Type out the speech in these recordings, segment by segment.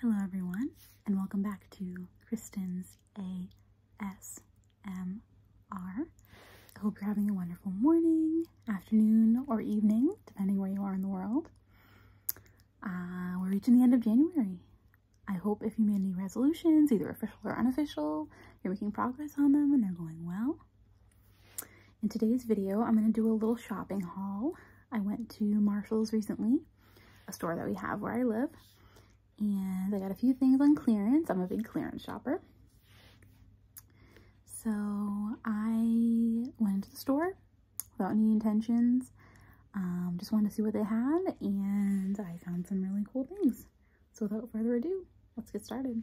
Hello, everyone, and welcome back to Kristen's A S M R. I hope you're having a wonderful morning, afternoon, or evening, depending where you are in the world. Uh, we're reaching the end of January. I hope if you made any resolutions, either official or unofficial, you're making progress on them and they're going well. In today's video, I'm going to do a little shopping haul. I went to Marshall's recently, a store that we have where I live, and I got a few things on clearance. I'm a big clearance shopper. So I went into the store without any intentions. Um, just wanted to see what they had, and I found some really cool things. So without further ado, let's get started.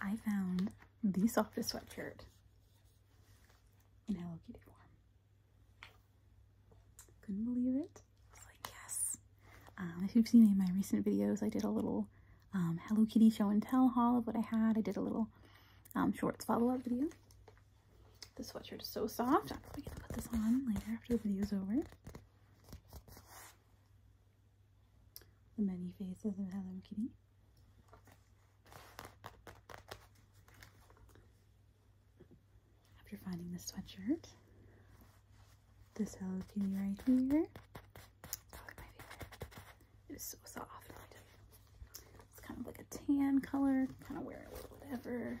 I found the softest sweatshirt in Hello Kitty form. Couldn't believe it. I was like, yes. Um, if you've seen any of my recent videos, I did a little um, Hello Kitty show and tell haul of what I had. I did a little um, shorts follow-up video. The sweatshirt is so soft. I'm going to put this on later after the video's over. The many faces of Hello Kitty. After finding the sweatshirt, this Hello Kitty right here. It's It is so soft. It's kind of like a tan color. Kind of wear it with whatever.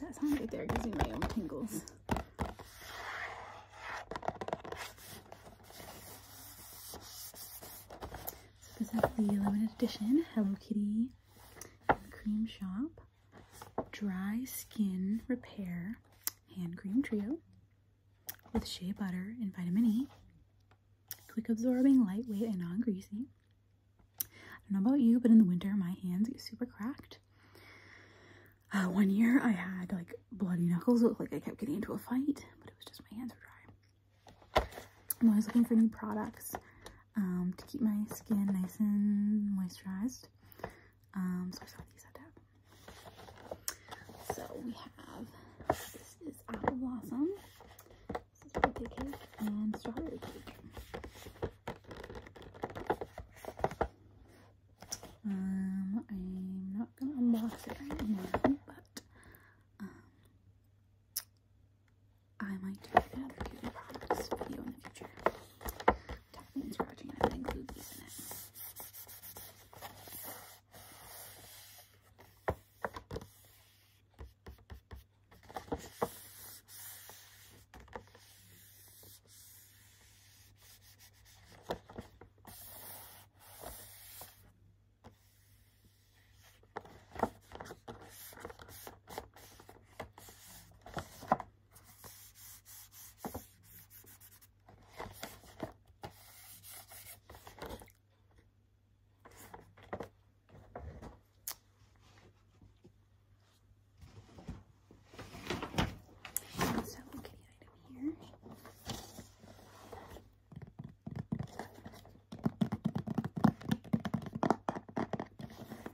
That sound right there gives me my own tingles. So this is the limited edition Hello Kitty cream shop. Dry Skin Repair Hand Cream Trio with shea butter and vitamin E. Quick absorbing, lightweight, and non greasy. I don't know about you, but in the winter my hands get super cracked. Uh, one year I had like bloody knuckles. looked like I kept getting into a fight, but it was just my hands were dry. I'm always looking for new products um, to keep my skin nice and moisturized. Um, so we have this is apple blossom, this is birthday cake, and strawberry cake. Um, I'm not gonna unbox it right now, but um, I might do another video in the future. That means we're actually gonna include these in it. So kitty item here.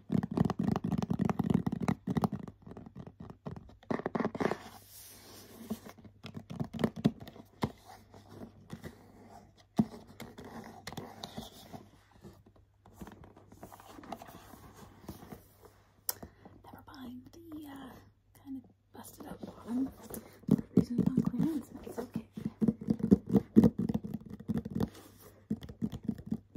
Never mind the uh, kind of busted up bottom. The reason it's on clearance, but it's okay.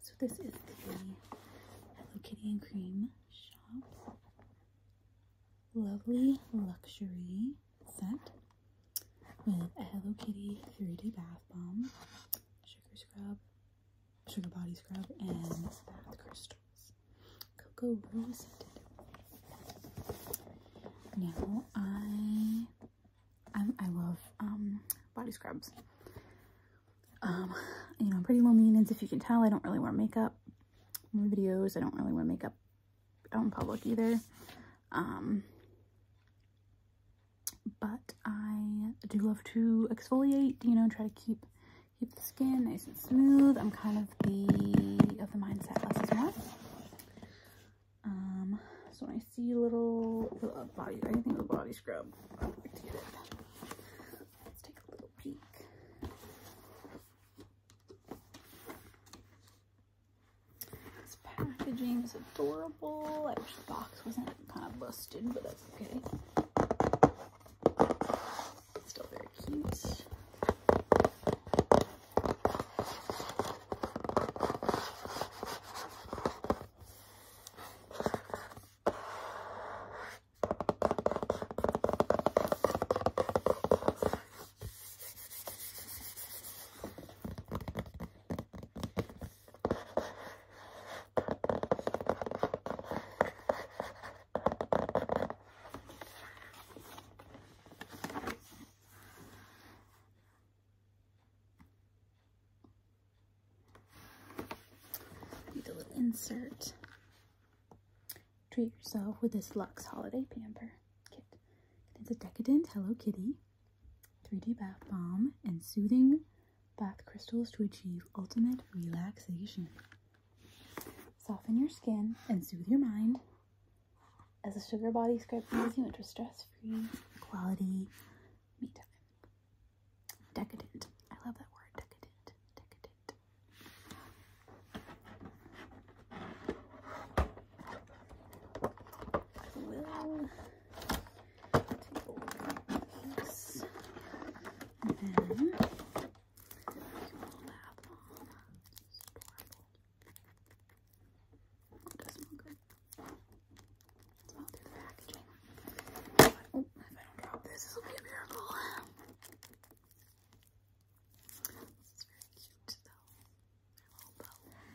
So this is the Hello Kitty and Cream shop. Lovely luxury set with a Hello Kitty 3D bath bomb, sugar scrub, sugar body scrub and bath crystals. Cocoa really scented. Now I, I love um body scrubs. Um, you know, pretty lonely maintenance if you can tell. I don't really wear makeup videos. I don't really wear makeup out in public either. Um, but I do love to exfoliate, you know, try to keep keep the skin nice and smooth. I'm kind of the of the mindset less is more. so when I see little, little uh, body, I think a body scrub, Let's take a little peek. This packaging is adorable. I wish the box wasn't kind of busted, but that's okay. Still very cute. Do the little insert. Treat yourself with this Lux Holiday Pamper kit. It's a decadent Hello Kitty, 3D bath bomb, and soothing bath crystals to achieve ultimate relaxation. Soften your skin and soothe your mind as a sugar body scrub brings you into stress-free quality me Decadent. I love that word, decadent. Decadent. Oops. And then pull does smell good. It's through the packaging. oh, if I don't drop this, this will be a miracle. This very cute, though. Their little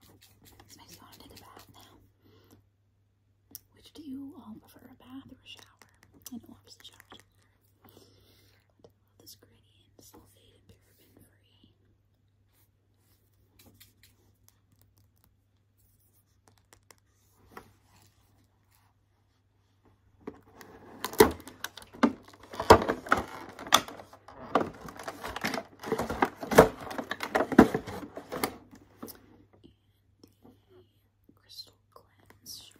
This makes you to take bath now. Which do you all prefer, a bath or a shower? I know obviously showers I this gradient, sulfate and paraben free. Crystal glass. Crystal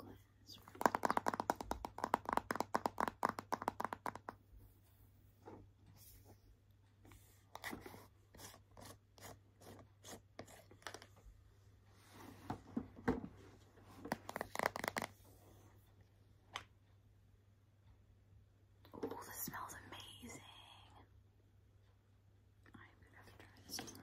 Cleanse. Oh, this smells amazing. I'm gonna try this tomorrow.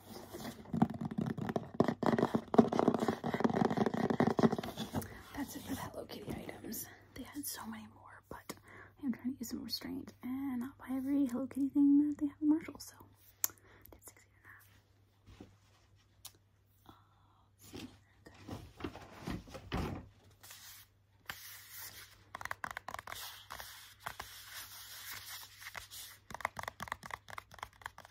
That's it for the Hello Kitty items. They had so many more, but I'm trying to use some restraint and not buy every Hello Kitty thing that they have in Marshall, so did succeed in that. Uh, see,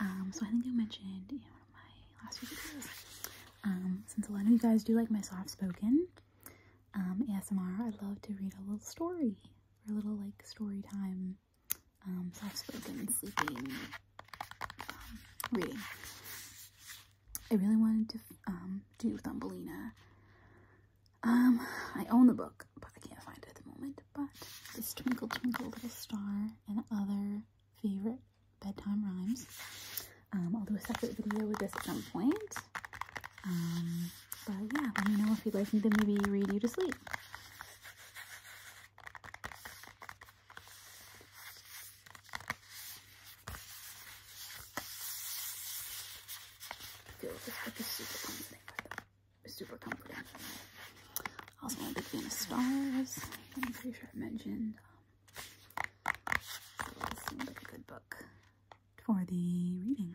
Um, so I think I mentioned in one of my last videos, um, since a lot of you guys do like my soft-spoken um, ASMR, I'd love to read a little story, or a little, like, story time um, soft-spoken, sleeping, um, reading. I really wanted to um, do Thumbelina. Um, I own the book, but I can't find it at the moment. But this Twinkle Twinkle Little Star and other favorite bedtime rhymes. Um, I'll do a separate video with this at some point. Um, but yeah, let me know if you'd like me to maybe read you to sleep. I super comforting. Also, i a big fan of stars. I'm pretty sure I mentioned. seems like a good book for the reading.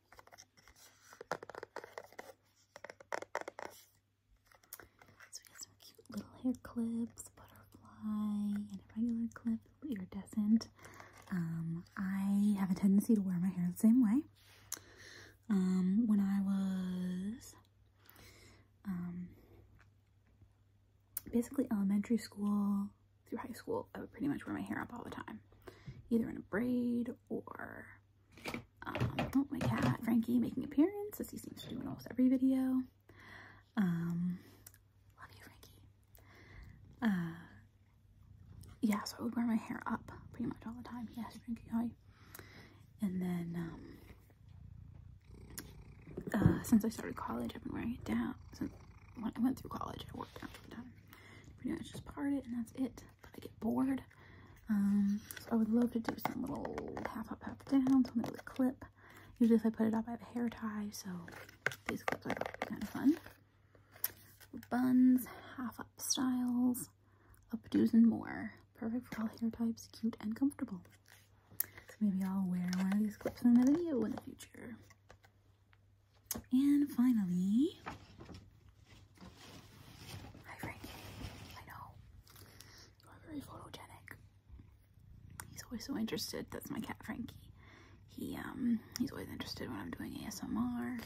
So we got some cute little hair clips, butterfly, and a regular clip, iridescent. Um, I have a tendency to wear my hair the same way. Um, when I was um, basically elementary school through high school, I would pretty much wear my hair up all the time, either in a braid or um, oh, my cat Frankie making appearance as he seems to do in almost every video. Um, love you, Frankie. Uh, yeah, so I would wear my hair up pretty much all the time. Yes, Frankie, hi. And then, um, uh, since I started college, I've been wearing it down. Since when I went through college, I wore it down all the time. Pretty much just part it, and that's it. But I get bored, um, so I would love to do some little half up, half down, something with a clip. Usually if I put it up, I have a hair tie, so these clips are kind of fun. Buns, half up styles, updos, and more. Perfect for all hair types, cute and comfortable. So maybe I'll wear one of these clips in another video in the future. And finally, Hi Frankie, I know. You are very photogenic. He's always so interested. That's my cat Frankie. He um he's always interested when I'm doing ASMR.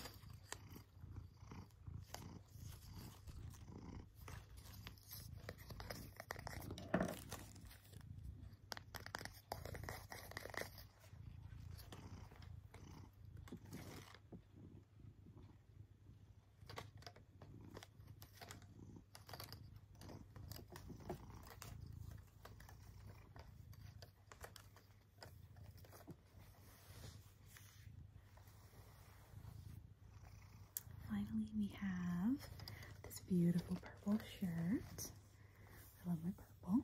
Finally, we have this beautiful purple shirt. I love my purple.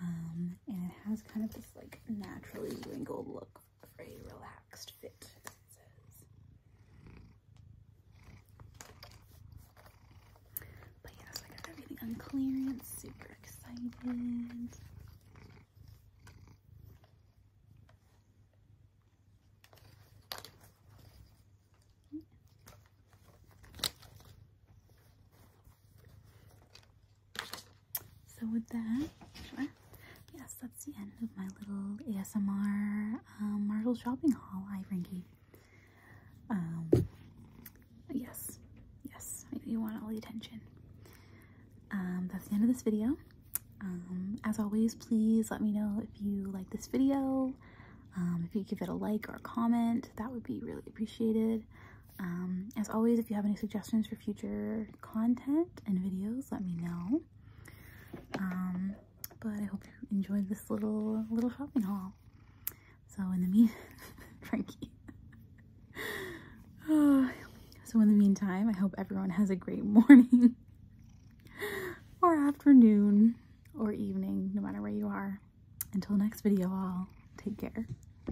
Um, and it has kind of this like naturally wrinkled look for a relaxed fit, But yes, I got everything on clearance, super excited. So with that, Yes, that's the end of my little ASMR um, Marshall shopping haul, Ivrinky. Um, yes, yes, you want all the attention. Um, that's the end of this video. Um, as always, please let me know if you like this video. Um, if you give it a like or comment, that would be really appreciated. Um, as always, if you have any suggestions for future content and videos, let me know. Um, but I hope you enjoyed this little little shopping haul. So in the meantime, Frankie. oh, so in the meantime, I hope everyone has a great morning or afternoon or evening, no matter where you are. Until next video, I'll take care.